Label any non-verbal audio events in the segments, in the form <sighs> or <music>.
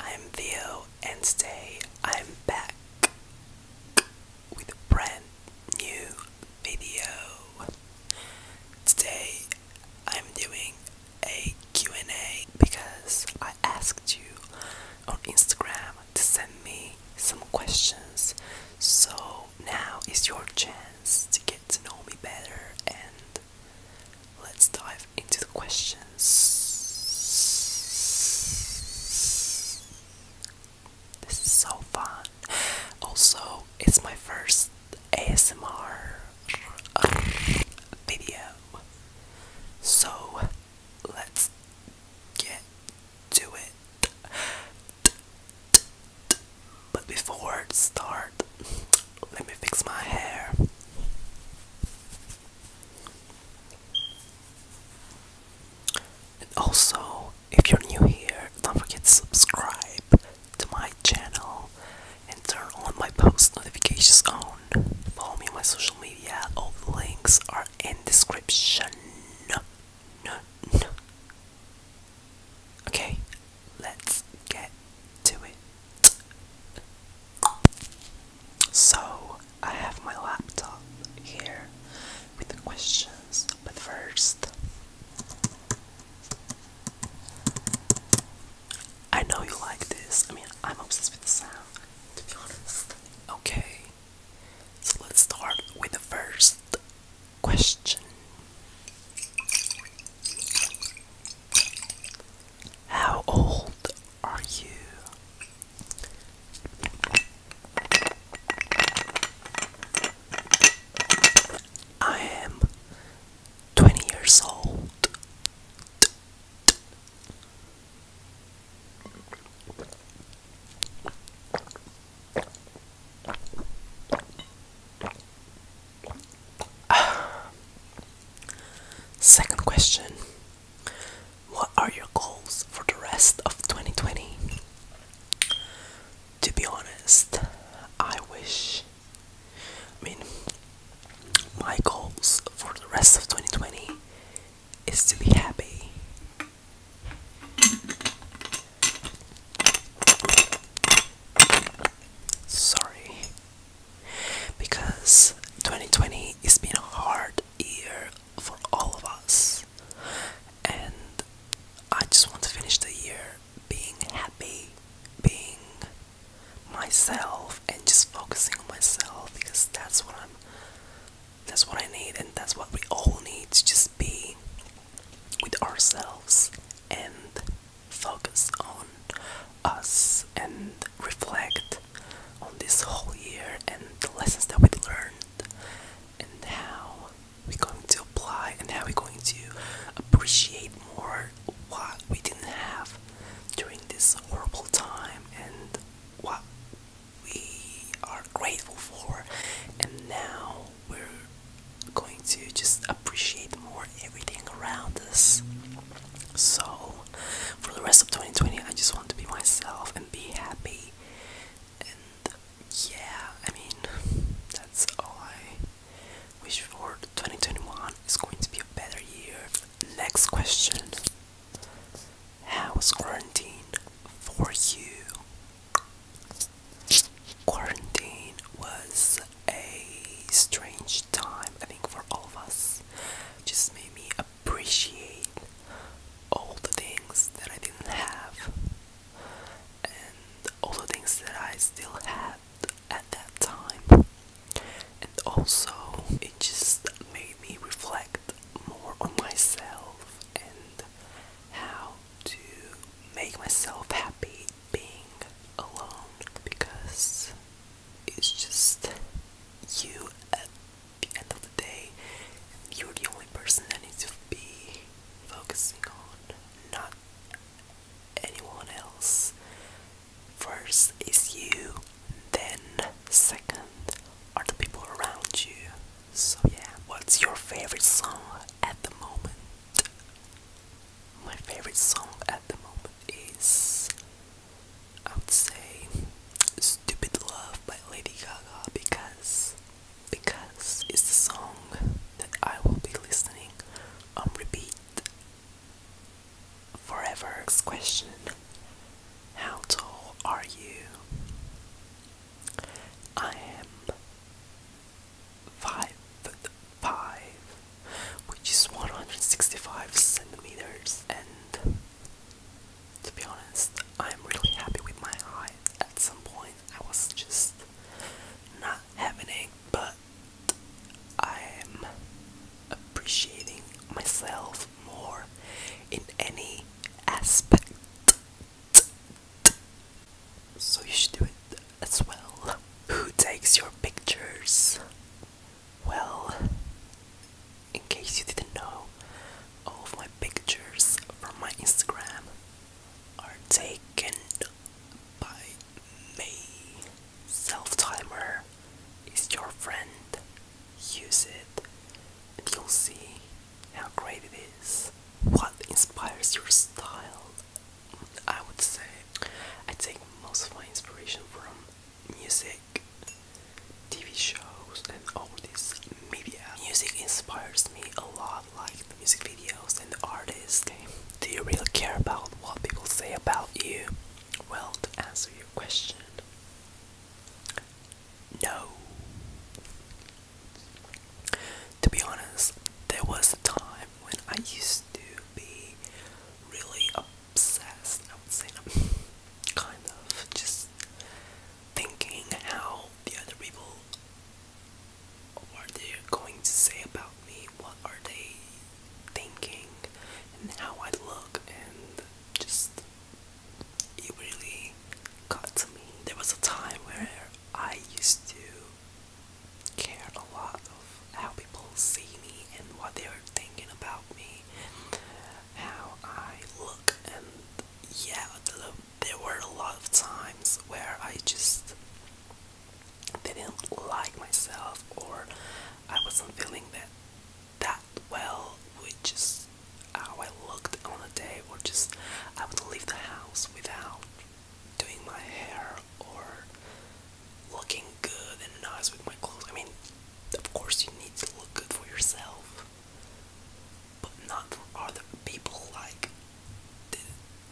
I'm Theo, and today I'm back with a brand new video. Today I'm doing a Q&A because I asked you on Instagram to send me some questions. So now is your chance to get to know me better and let's dive into the questions. This is so fun. Also, it's my first ASMR video. So, let's get to it. But before it start, let me fix my hair. And also, if you're new here, don't forget to subscribe to my channel and turn on my post notifications on. Follow me on my social media, all the links are in description. Okay, let's get to it. So, I have my laptop here with the questions, but first, I know you like this. I mean, I'm obsessed with the sound, to be honest. Okay, so let's start with the first question. How old are you? I am 20 years old. <sighs> Second question what are your goals for the rest of 2020? To be honest, I wish. I mean, my goals for the rest of 2020 is to be happy. Sorry. Because 2020 has been a hard year for all of us. And I just want to finish the year being happy, being myself and just focusing on myself because that's what I'm that's what I need and that's what we all need to just be with ourselves and focus on us and reflect on this whole year and the lessons that we learned and how we're going to apply and how we're going to appreciate more what we didn't have during this horrible time and what we are grateful for and now we're going to just appreciate more everything around us so for the rest of 2020, I just want to be myself and be happy. And yeah, I mean, that's all I wish for. 2021 is going to be a better year. Next question How was quarantine for you? Quarantine was a strange time, I think, for all of us. just made me a appreciate all the things that I didn't have and all the things that I still had at that time. And also, it just made me reflect more on myself and how to make myself happy being alone because it's just you the end of the day, you're the only person that needs to be focusing on, not anyone else. First is you, then second are the people around you. So, yeah, what's your favorite song at the moment? My favorite song at the moment is I would say Stupid Love by Lady Gaga because because it's the song that I will be listening on repeat forever. question How tall are you? I am five foot five, which is 165 centimeters, and to be honest, I'm really happy with my eye. At some point, I was just not having it, but I'm appreciating myself more in any aspect. So you should do it as well. Who takes your pictures? Well, in case you didn't know, all of my pictures from my Instagram are taken by me. Self timer is your friend. Use it and you'll see how great it is. What inspires your style? I would say I take most of my inspiration from music, TV shows, and all this media. Music inspires me a lot, like the music videos and the artists. Do you really care about what people say about you? Well, to answer your question, no. To be honest, there was a time when I used to be really a obsessed. I would say I'm kind of just thinking how the other people are they going to say about me? What are they thinking? And how I look? And just it really got to me. There was a time where I used to care a lot of how people see me and what they were thinking about me how I look, and yeah, look. there were a lot of times where I just didn't like myself, or I wasn't feeling that that well, which is how I looked on a day, or just I would leave the house without doing my hair or looking good and nice with my clothes. I mean, of course, you need to look good for yourself, but not for other people. Like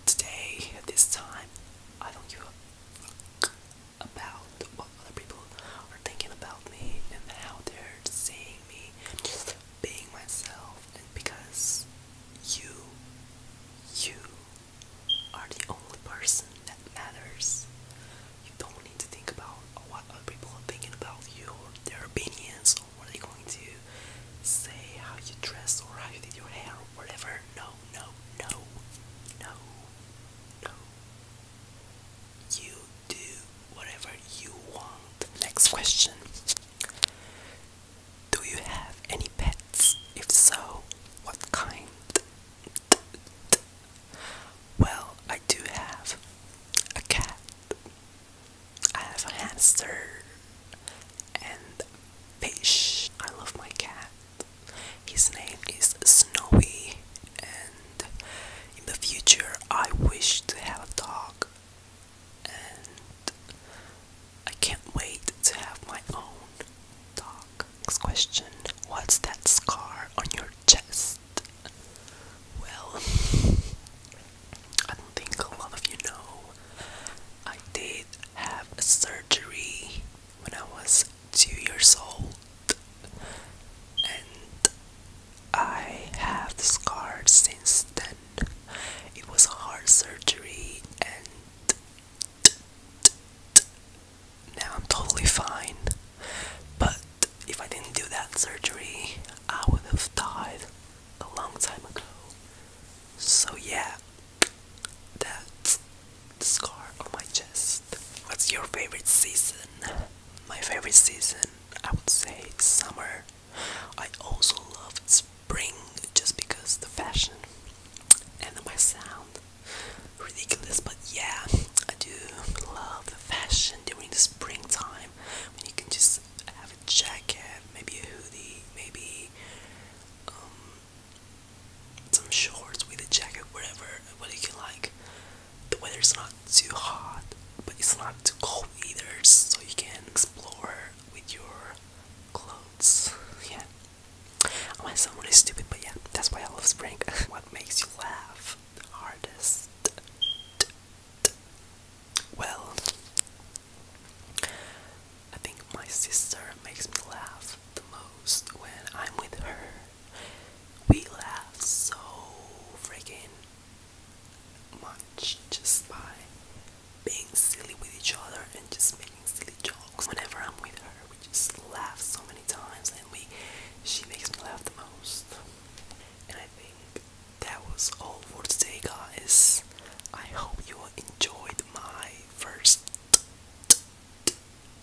today, at this time, I don't give a fuck about what other people are thinking about me and how they're seeing me. Just being myself, and because you, you are the only person that matters. You don't need to think about what other people are thinking about you or their opinions or what they're going to say, how you dress or how you did your hair or whatever. No, no, no, no, no. You do whatever you want. Next question. Do you have any pets? If so, what kind? Well, I do have a cat. I have a hamster and fish. I love my cat. His name is Snowy, and in the future, I wish to have a dog. And I can't wait to have my own dog. Next question What's that scar on your chest? Well, I don't think a lot of you know, I did have a surgery when I was two years old, and I have scars since then. It was a heart surgery, and now I'm totally fine. But if I didn't do that surgery, I would have died a long time ago. So, yeah, that's scar on my chest. What's your favorite season? My favorite season, I would say, summer. I also love spring just because the fashion and my sound ridiculous, but yeah, I do love fashion during the springtime when you can just have a jacket, maybe a hoodie, maybe um, some shorts with a jacket, whatever, what you like. The weather's not too hot, but it's not too cold either, so you can explore with your clothes. Yeah. I went sound really stupid, but yeah, that's why I love spring. <laughs> what makes you laugh? hardest. Well, I think my sister makes me laugh the most when I'm with her. We laugh so freaking much just by being silly with each other and just making silly jokes. Whenever I'm with her, we just laugh so many times and we she makes me laugh the most. And I think that was all for today, guys. I hope you enjoyed my first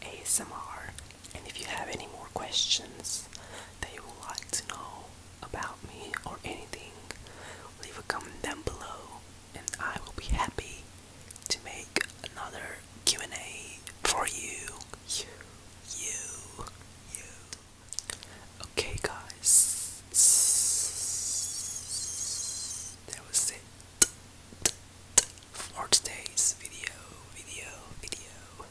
ASMR. And if you have any more questions that you would like to know about me or anything, leave a comment down below and I will be happy to make another Q&A for you you, you, you. Okay, guys, that was it for today's video, video, video.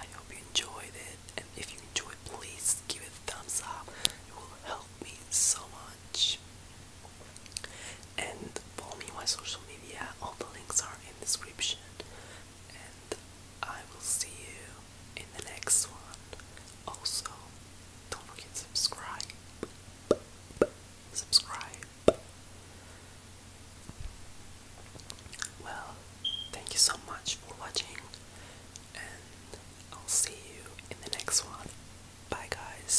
I hope you enjoyed it, and if you enjoyed, please give it a thumbs up. It will help me so much. And follow me on my social media. All the links are in the description and I will see you in the next one. Also, don't forget to subscribe. Subscribe. Well, thank you so much for watching, and I'll see you in the next one. Bye, guys.